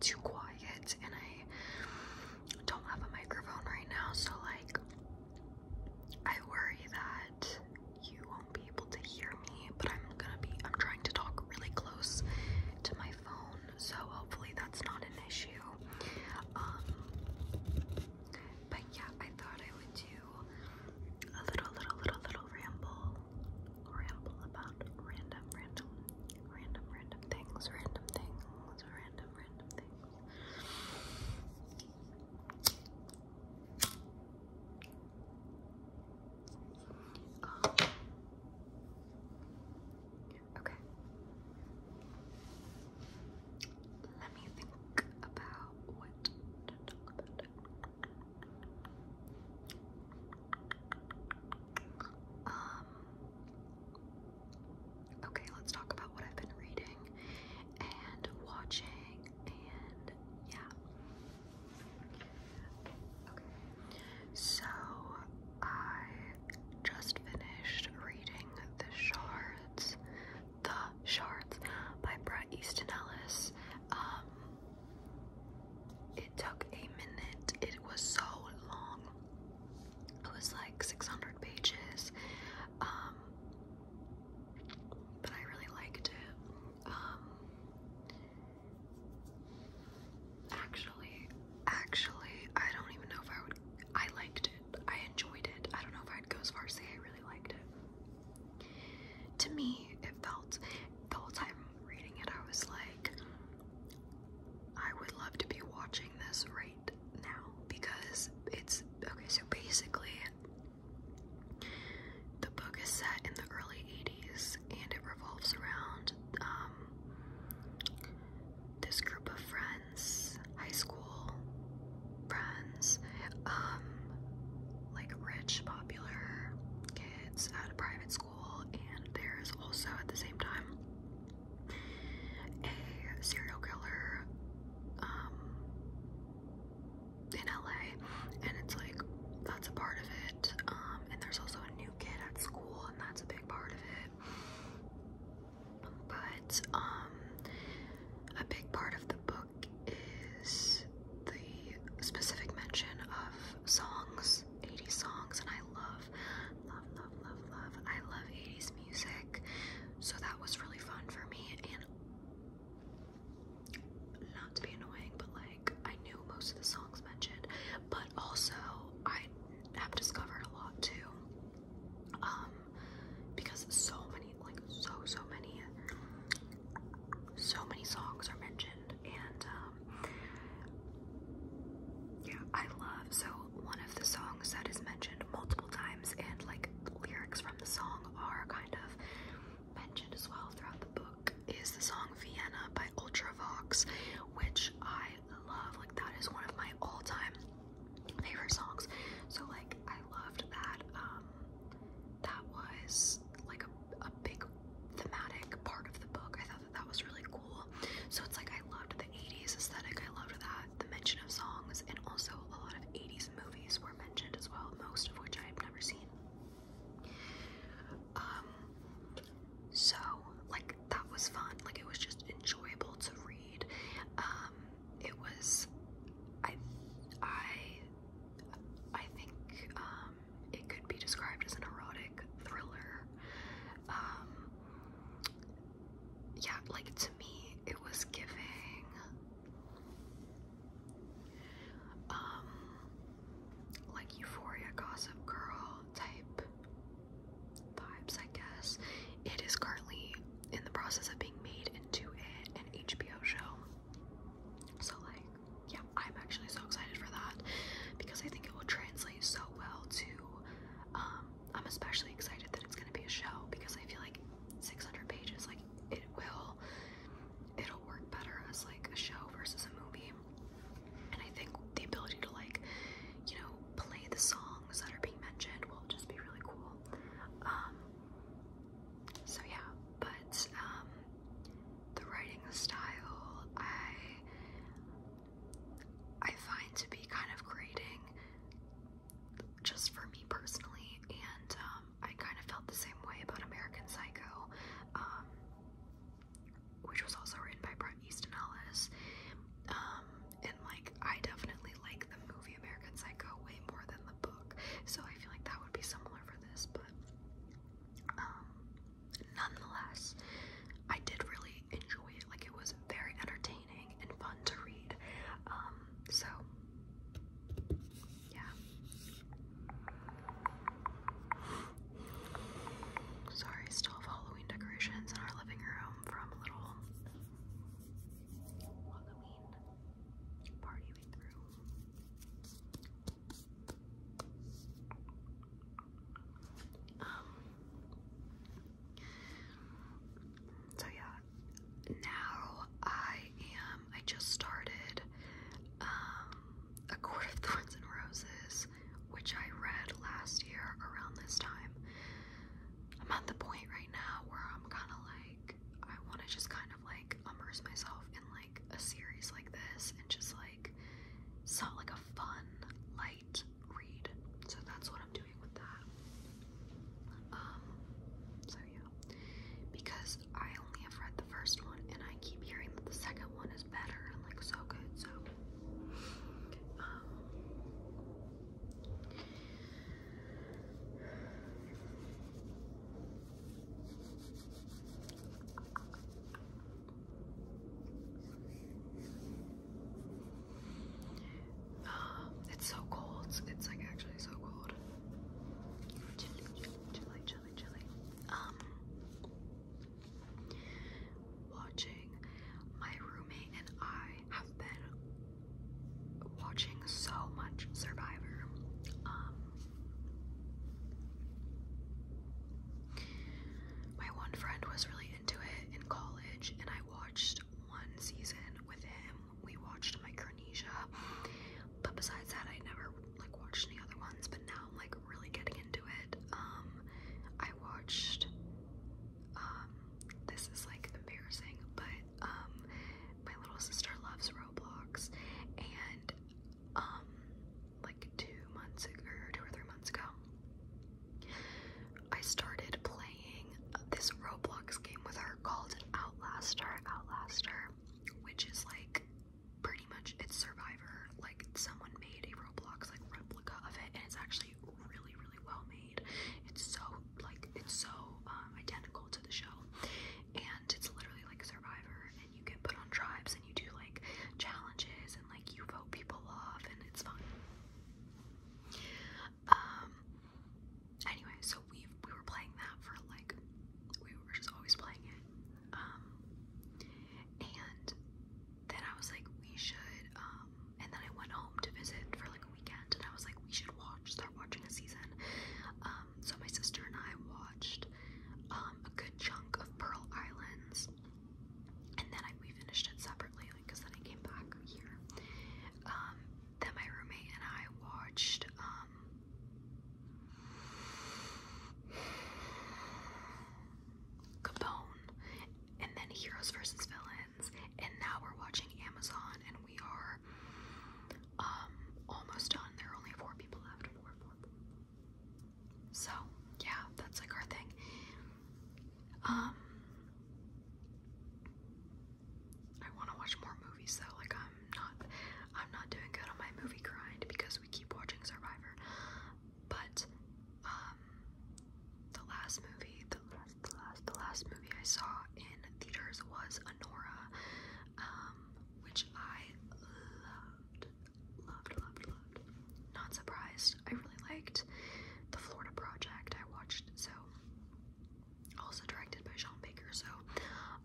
too quiet and I don't have a microphone right now, so like I worry that you won't be able to hear me, but I'm gonna be I'm trying to talk really close to my phone, so hopefully that's not an issue. Um, but yeah, I thought I would do a little little little little ramble ramble about random, random, random, random things, random things, random, random things. Um, okay. Let me think about what to talk about. Um, okay, let's talk about what I've been reading and watching and yeah. Okay, so I just finished reading The Shards, The Shards by Bret Easton Ellis. Um, it took a minute. It was so long. It was like 600 pages. Um, but I really liked it. Um, actually, actually, I don't even know if I would. I liked it. I enjoyed it. I don't know if I'd go as far as say I really liked it. To me, it felt the whole time reading it, I was like, I would love to be watching this right now because it's okay. So basically, the book is set in the early 80s and it revolves around um, this group of friends, high school friends, um, like rich, popular kids at a private school and there is also at the same time a serial killer um, in LA, and it's like that's a part of it. Um, and there's also a new kid at school, and that's a big part of it. But um, a big part of the book is the specific mention of songs, 80s songs, and I love, love, love, love, love. I love 80s music, so that was really fun for me. And not to be annoying, but like I knew most of the songs mentioned, but also I have discovered a lot too. Um, because so many, like so so many, so many songs are mentioned and um, yeah, I love so one of the songs that is mentioned multiple times, and like lyrics from the song are kind of mentioned as well throughout the book. Is the song Vienna by Ultravox, which I love, like, that is one of my all time favorite songs. So, like, I loved that. Um, that was like a, a big thematic part of the book. I thought that that was really cool. So it's like I loved the 80s aesthetic. I loved that the mention of songs and also a lot of 80s movies were mentioned as well, most of which I have never seen. Um so like that was fun. Like it was just enjoyable to read. Um it was I I I think um it could be described as an erotic thriller. Um, yeah, like to me, it was giving. Um, like Euphoria Gossip Girl type vibes, I guess. It is currently in the process of being made into an HBO show. So, like, yeah, I'm actually so excited for that because I think it will translate so well to. Um, I'm especially excited that it's going to be a show because I feel like 600 pages, like it will, it'll work better as like a show versus a movie. And I think the ability to like, you know, play the songs that are being mentioned will just be really cool. Um, so yeah, but um, the writing style I I find to be kind of grating just for me personally and um, I kind of felt the same way about American Psycho um, which was also written by Bret Easton Ellis and like I definitely like the movie American Psycho way more than the book so I feel like that would be similar for but um, nonetheless, I did really enjoy it. Like, it was very entertaining and fun to read. Um, so, yeah. Sorry, still have Halloween decorations in our living room from a little Halloween party um, so yeah, now I am, I just started um, A Court of Thorns and Roses, which I read last year around this time. I'm at the point right now where I'm kind of like, I want to just kind of like immerse myself in like a series like this and just like it's like a fun light read. So that's what I'm doing with that. Um so yeah. Because I only have read the first one and I keep hearing that the second one is better and like so good, so um, um, it's so cold. It's like actually so cold. Chilly, chilly, chilly, chilly. Um, watching my roommate and I have been watching so much Survivor. Um, my one friend was really into it in college, and I watched one season with him. We watched Micronesia, but besides that, I never like watched any other ones. But now I'm like really getting into it. Um, I watched. Um, this is like embarrassing, but um, my little sister loves Roblox, and um, like two months ago, or two or three months ago, I started playing this Roblox game with her called Outlaster. Outlaster, which is like pretty much it's Survivor. Like someone made a Roblox like replica of it, and it's actually really, really well made. It's so like it's so um, identical to the show. And it's literally like Survivor, and you get put on tribes and you do like challenges and like you vote people off, and it's fun. Um. Anyway, so we we were playing that for like we were just always playing it. Um. And then I was like, we should. Um. And then I went home to visit for like weekend and I was like, we should watch, start watching a season. Um, so my sister and I watched um, a good chunk of Pearl Islands and then I, we finished it separately because then I came back here. Um, then my roommate and I watched Capone and then Heroes versus Villains and now we're watching Amazon, and we are um, almost done. There are only four people left. So yeah, that's like our thing. Um, I want to watch more movies though. Like I'm not, I'm not doing good on my movie grind because we keep watching Survivor. But um, the last movie the last, movie I saw in theaters was Anora, um, which I loved, loved, loved, loved. Not surprised. I really liked the Florida Project. I watched so also directed by Sean Baker. So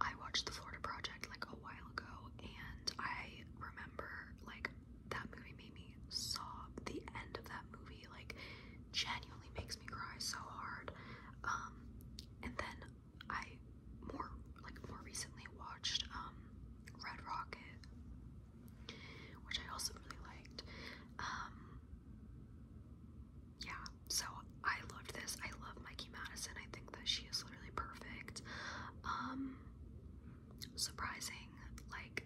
I watched the Florida Project like a while ago, and I remember like that movie made me sob. The end of that movie like genuinely makes me cry so hard. Um, and then I more like more recently watched um, Red Rocket, which I also really liked. Um, yeah, so I loved this. I love Mikey Madison. I think that she is literally perfect. surprising, like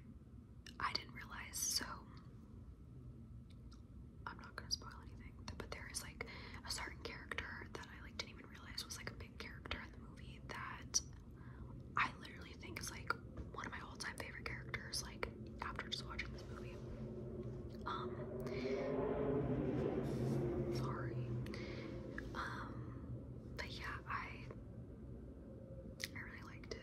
I didn't realize, so I'm not gonna spoil anything. But there is like a certain character that I like didn't even realize was like a big character in the movie that I literally think is like one of my all-time favorite characters. Like after just watching this movie, um, sorry, um, but yeah, I I really liked it.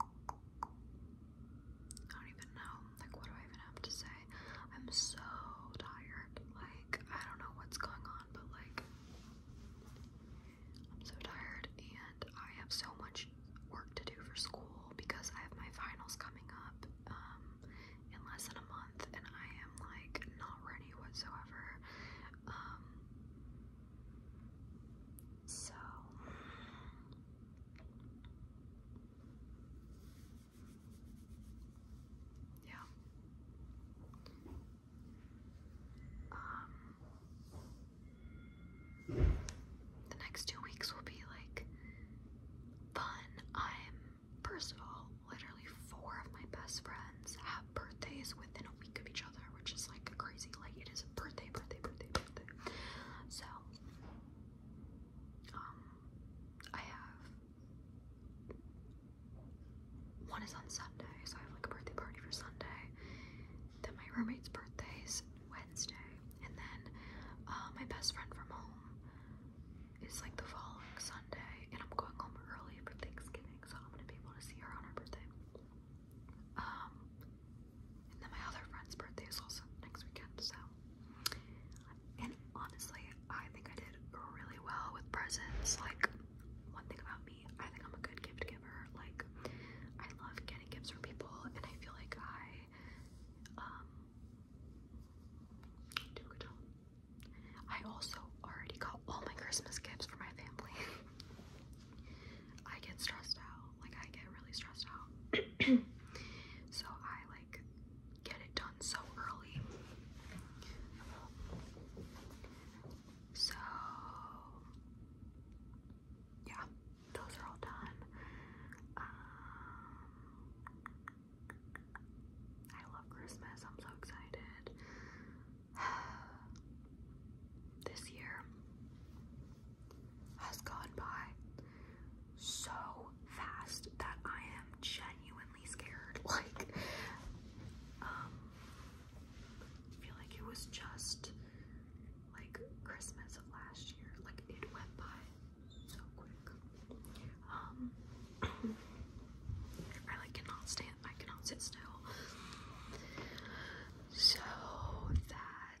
I don't even know. Like, what do I even have to say? I'm so tired. Like, I don't know what's going on, but like, I'm so tired, and I have so much work to do for school because I have my finals coming up um, in less than a month, and I am like not ready whatsoever. Um, so, yeah. Um, the next two weeks will be like fun. I'm, first of all, literally four of my best friends have birthdays within a week of each other, which is like crazy. Like, it is birthday, birthday, birthday, birthday. So, um, I have one is on Sunday, so I have like a birthday party for Sunday. Then my roommate's birthday is Wednesday, and then uh, my best friend from home is like the following Sunday, and I'm going home early for Thanksgiving, so I'm gonna be able to see her on her birthday. Um, and then my other friend's birthday is also next weekend, so. And honestly, I think I did really well with presents. Like, one thing about me, I think I'm a good gift giver. Like, I love getting gifts for people, and I feel like I um, do good I also already got all my Christmas gifts for my family. I get stressed out. Like I get really stressed out. so I like get it done so early. So yeah, those are all done. Um, I love Christmas. I'm so excited. this year has gone by so fast that I am genuinely scared. Like, um, I feel like it was just like Christmas of last year. Like, it went by so quick. Um, I like cannot stand, I cannot sit still. So that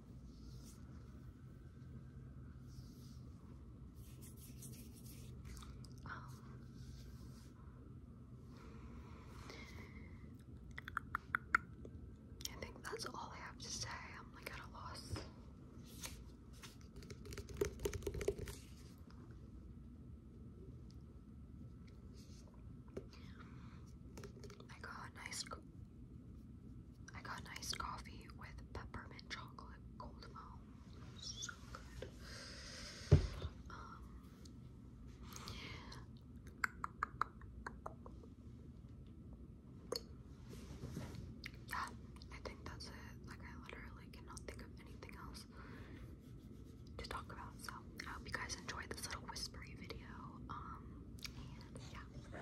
Um, I think that's all I have to say. I'm like at a loss. I got nice I got an iced coffee with peppermint chocolate cold foam. So good. Um, yeah, I think that's it. Like, I literally cannot think of anything else to talk about. So, I hope you guys enjoyed this little whispery video. Um, and yeah.